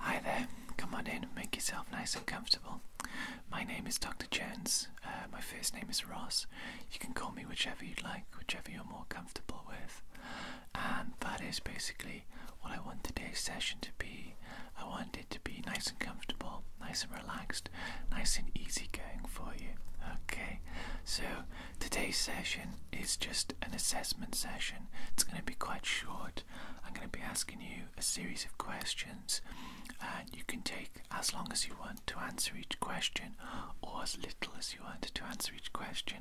Hi there, come on in, make yourself nice and comfortable. My name is Dr. Jones, uh, my first name is Ross. You can call me whichever you'd like, whichever you're more comfortable with. And that is basically what I want today's session to be. I want to be nice and comfortable, nice and relaxed, nice and easy going for you. Okay, so today's session is just an assessment session. It's going to be quite short. I'm going to be asking you a series of questions, and you can take as long as you want to answer each question or as little as you want to answer each question.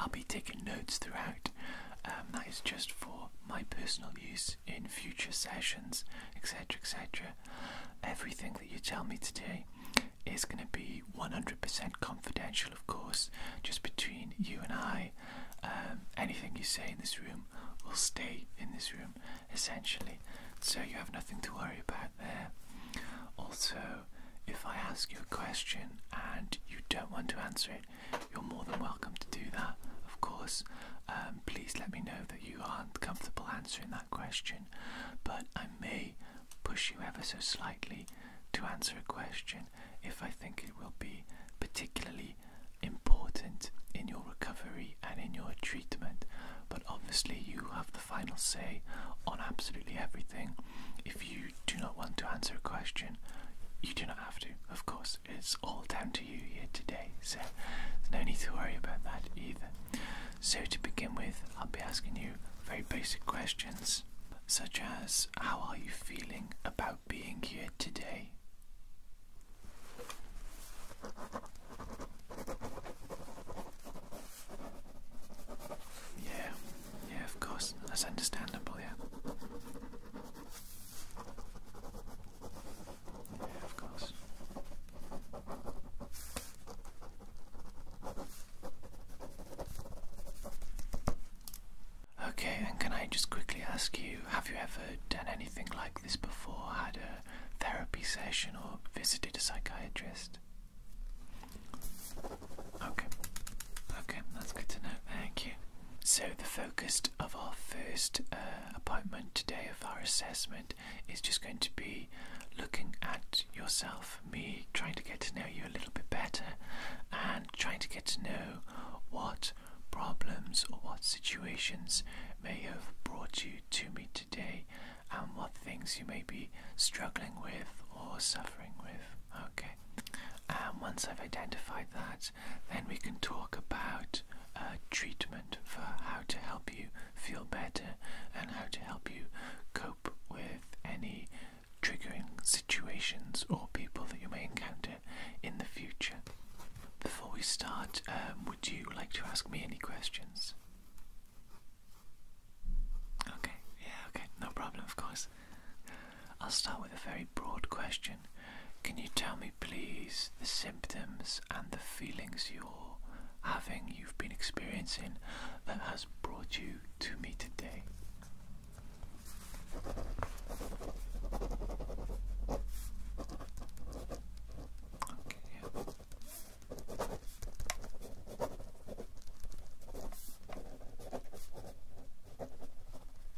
I'll be taking notes throughout. Um, that is just for my personal use in future sessions, etc. etc. Everything that you tell me today is going to be 100% confidential, of course, just between you and I. Um, anything you say in this room will stay in this room, essentially. So you have nothing to worry about there. Also, if I ask you a question and you don't want to answer it, you're more than welcome to do that, of course. Um, please let me know you aren't comfortable answering that question, but I may push you ever so slightly to answer a question if I think it will be particularly important in your recovery and in your treatment. But obviously, you have the final say on absolutely everything. If you do not want to answer a question, you do not have to, of course it's, all down to you here today, so there's no need to worry about that either. So, to begin with, I'll be asking you very basic questions, such as how are you feeling about being here today? Yeah, yeah, of course, that's understandable, yeah. Okay, and can I just quickly ask you have you ever done anything like this before? Had a therapy session or visited a psychiatrist? Okay, okay, that's good to know. Thank you. So, the focus of our first uh, appointment today of our assessment is just going to be looking at yourself, me trying to get to know you a little bit better and trying to get to know what problems or what situations may have brought you to me today and what things you may be struggling with or suffering with. Okay, and um, once I've identified that, then we can talk about uh, treatment for how to help you feel better and how to help you cope with any triggering situations or people that you may encounter in the future. Before we start, um, would you like to ask me any questions? Okay, yeah, okay, no problem, of course. I'll start with a very broad question. Can you tell me, please, the symptoms and the feelings you're having, you've been experiencing, that has brought you to me today?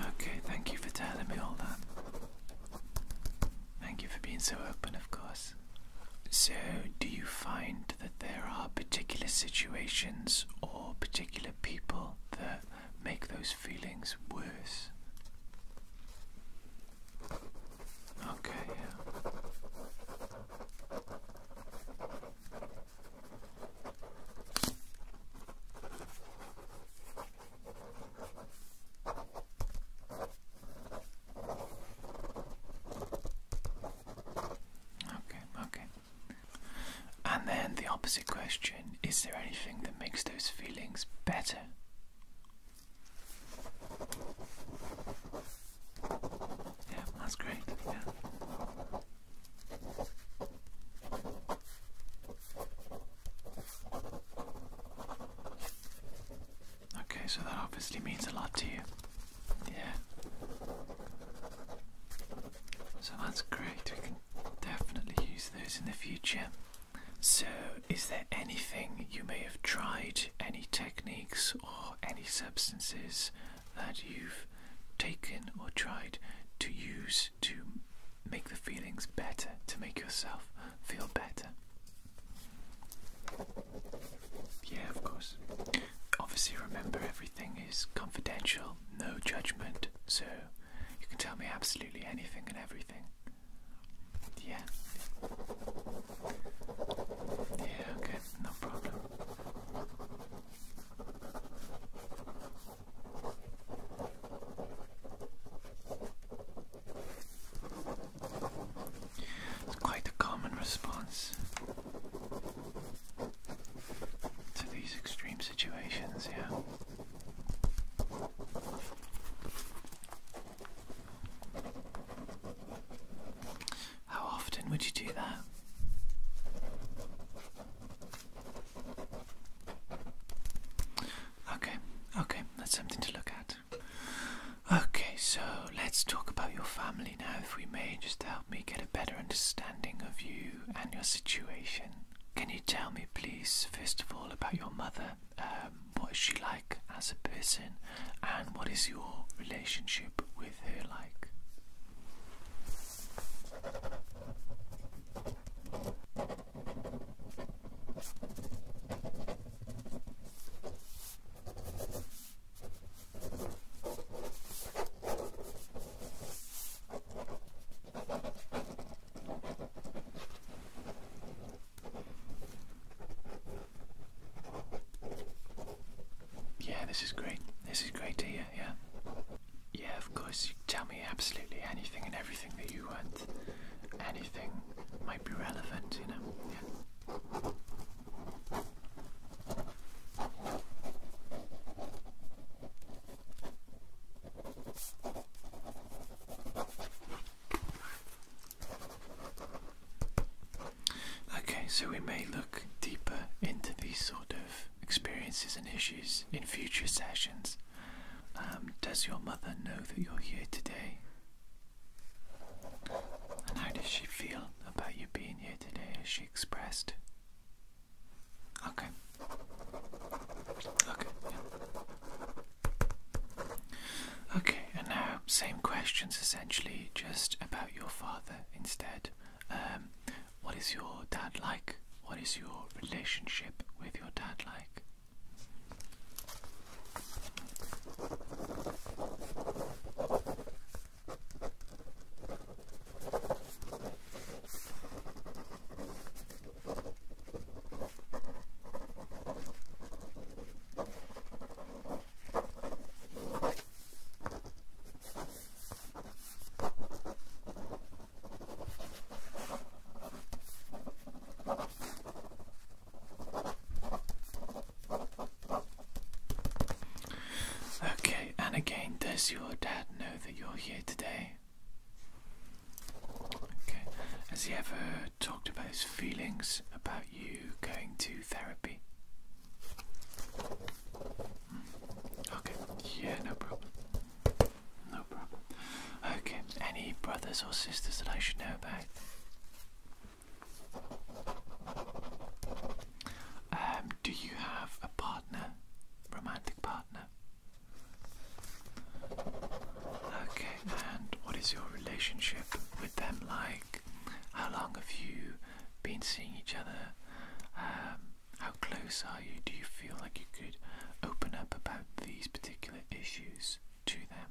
Okay, thank you for telling me all that. Thank you for being so open, of course. So, do you find that there are particular situations or particular people that make those feelings worse? Okay, Okay, okay. And then the opposite question is there anything that makes those feelings better? Yeah, that's great. Yeah. Okay, so that obviously means a lot to you. Yeah. So that's great. We can definitely use those in the future. So, is there anything you may have tried, any techniques or any substances that you've taken or tried to use to make the feelings better, to make yourself feel better. Yeah, of course. Obviously, remember everything is confidential, no judgment, so you can tell me absolutely anything and everything. Yeah. Yeah, okay, no problem. It's quite a common response to these extreme situations, yeah. How often would you do that? Okay, okay, that's something to look at. Okay, so let's talk about your family now, if we may, just to help me get a better understanding of you and your situation. Can you tell me, please, first of all, about your mother? Um, what is she like as a person? and what is your relationship with her like? Yeah, this is great. This is great to hear, yeah. Yeah, of course, you tell me absolutely anything and everything that you want. Anything might be relevant, you know. Yeah. Okay, so we may look deeper into these sort of experiences and issues in future sessions. Um, does your mother know that you're here today? And how does she feel about you being here today as she expressed? Okay. Okay. Okay, and now same questions essentially, just about your father instead. Um, what is your dad like? What is your relationship with your dad like? Okay, and again, does your dad know that you're here today? Okay, has he ever talked about his feelings about you going to therapy. Hmm. Okay, yeah, no problem. No problem. Okay, any brothers or sisters that I should know about? Um, do you have a partner? Romantic partner? Okay, and what is your relationship with them like? how long have you been seeing each other? Um, how close are you? Do you feel like you could open up about these particular issues to them?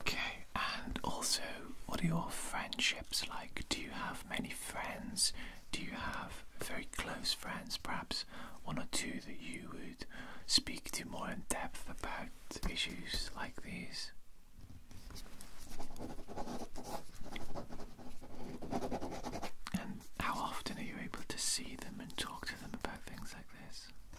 Okay, and also, what are your friendships like? Do you have many friends? Do you have very close friends, perhaps one or two that you would speak to more in depth about issues like these? And how often are you able to see them and talk to them about things like this?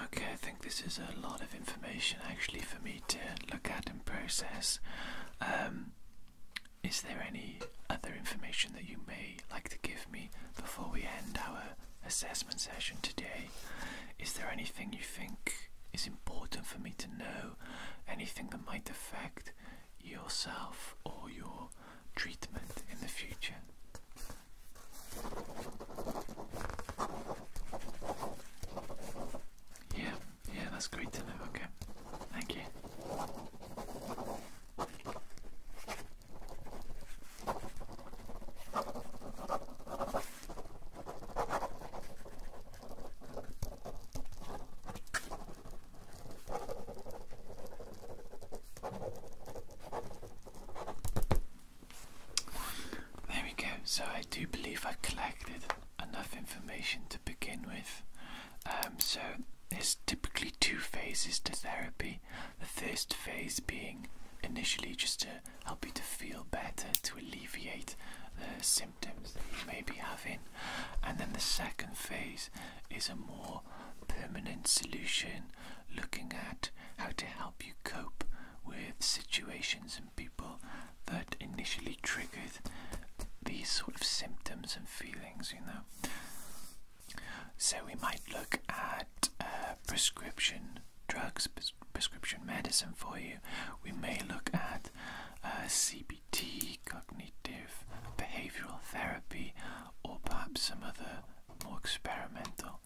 Okay, I think this is a lot of information actually for me to look at and process. Um, is there any other information that you may like to give me before we end our assessment session today. Is there anything you think is important for me to know? Anything that might affect yourself or your treatment in the future? Yeah, yeah, that's great to know. Okay, thank you. There we go. So I do believe I have collected enough information to begin with. Um, so there's typically two phases to therapy. The first phase being initially just to help you to feel better, to alleviate the symptoms that you may be having. And then the second phase is a more permanent solution looking at how to help you cope with situations and people that initially triggered these sort of symptoms and feelings, you know. So we might look at uh, prescription drugs, prescription medicine for you. We may look at uh, CBT, cognitive behavioral therapy, or perhaps some other more experimental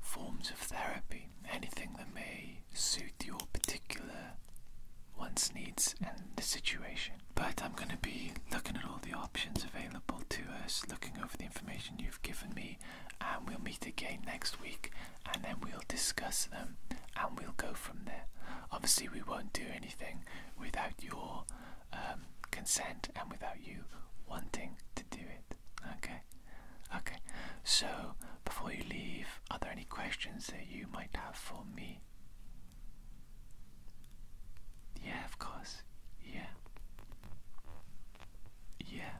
forms of therapy. Anything that may suit your particular one's needs and the situation. But I'm going to be looking at all the options available to us, looking over the information you've given me, and we'll meet again next week and then we'll discuss them and we'll go from there. Obviously, we won't do anything without your um, consent and without you wanting to do it. Okay? Okay. So, before you leave, are there any questions that you might have for me? Yeah, of course. Yeah. Yeah.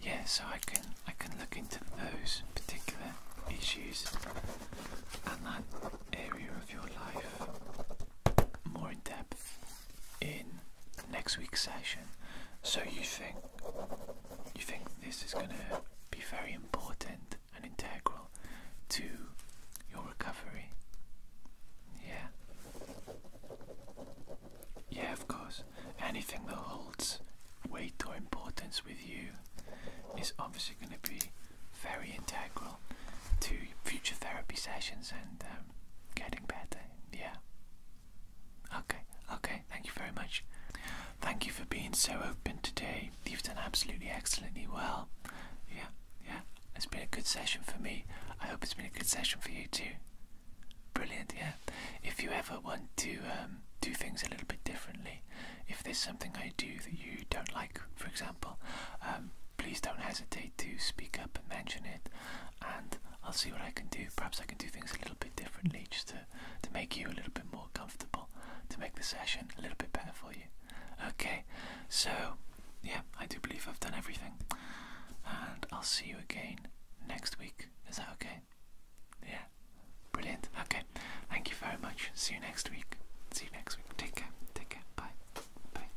Yeah, so I can I can look into those particular issues and that area of your life more in depth in next week's session. So you think you think this is gonna be very important an integral to your recovery. Yeah. Yeah, of course. Anything that holds weight or importance with you is obviously going to be very integral to future therapy sessions and um, getting better. Yeah. Okay, okay. Thank you very much. Thank you for being so open today. You've done absolutely excellently well. Yeah. Yeah, it's been a good session for me. I hope it's been a good session for you too. Brilliant, yeah. If you ever want to um, do things a little bit differently, if there's something I do that you don't like, for example, um, please don't hesitate to speak up and mention it, and I'll see what I can do. Perhaps I can do things a little bit differently just to, to make you a little bit more comfortable, to make the session a little bit better for you. Okay, so yeah, I do believe I've done everything. And I'll see you again next week. Is that okay? Yeah, brilliant. Okay, thank you very much. See you next week. See you next week. Take care. Take care. Bye. Bye.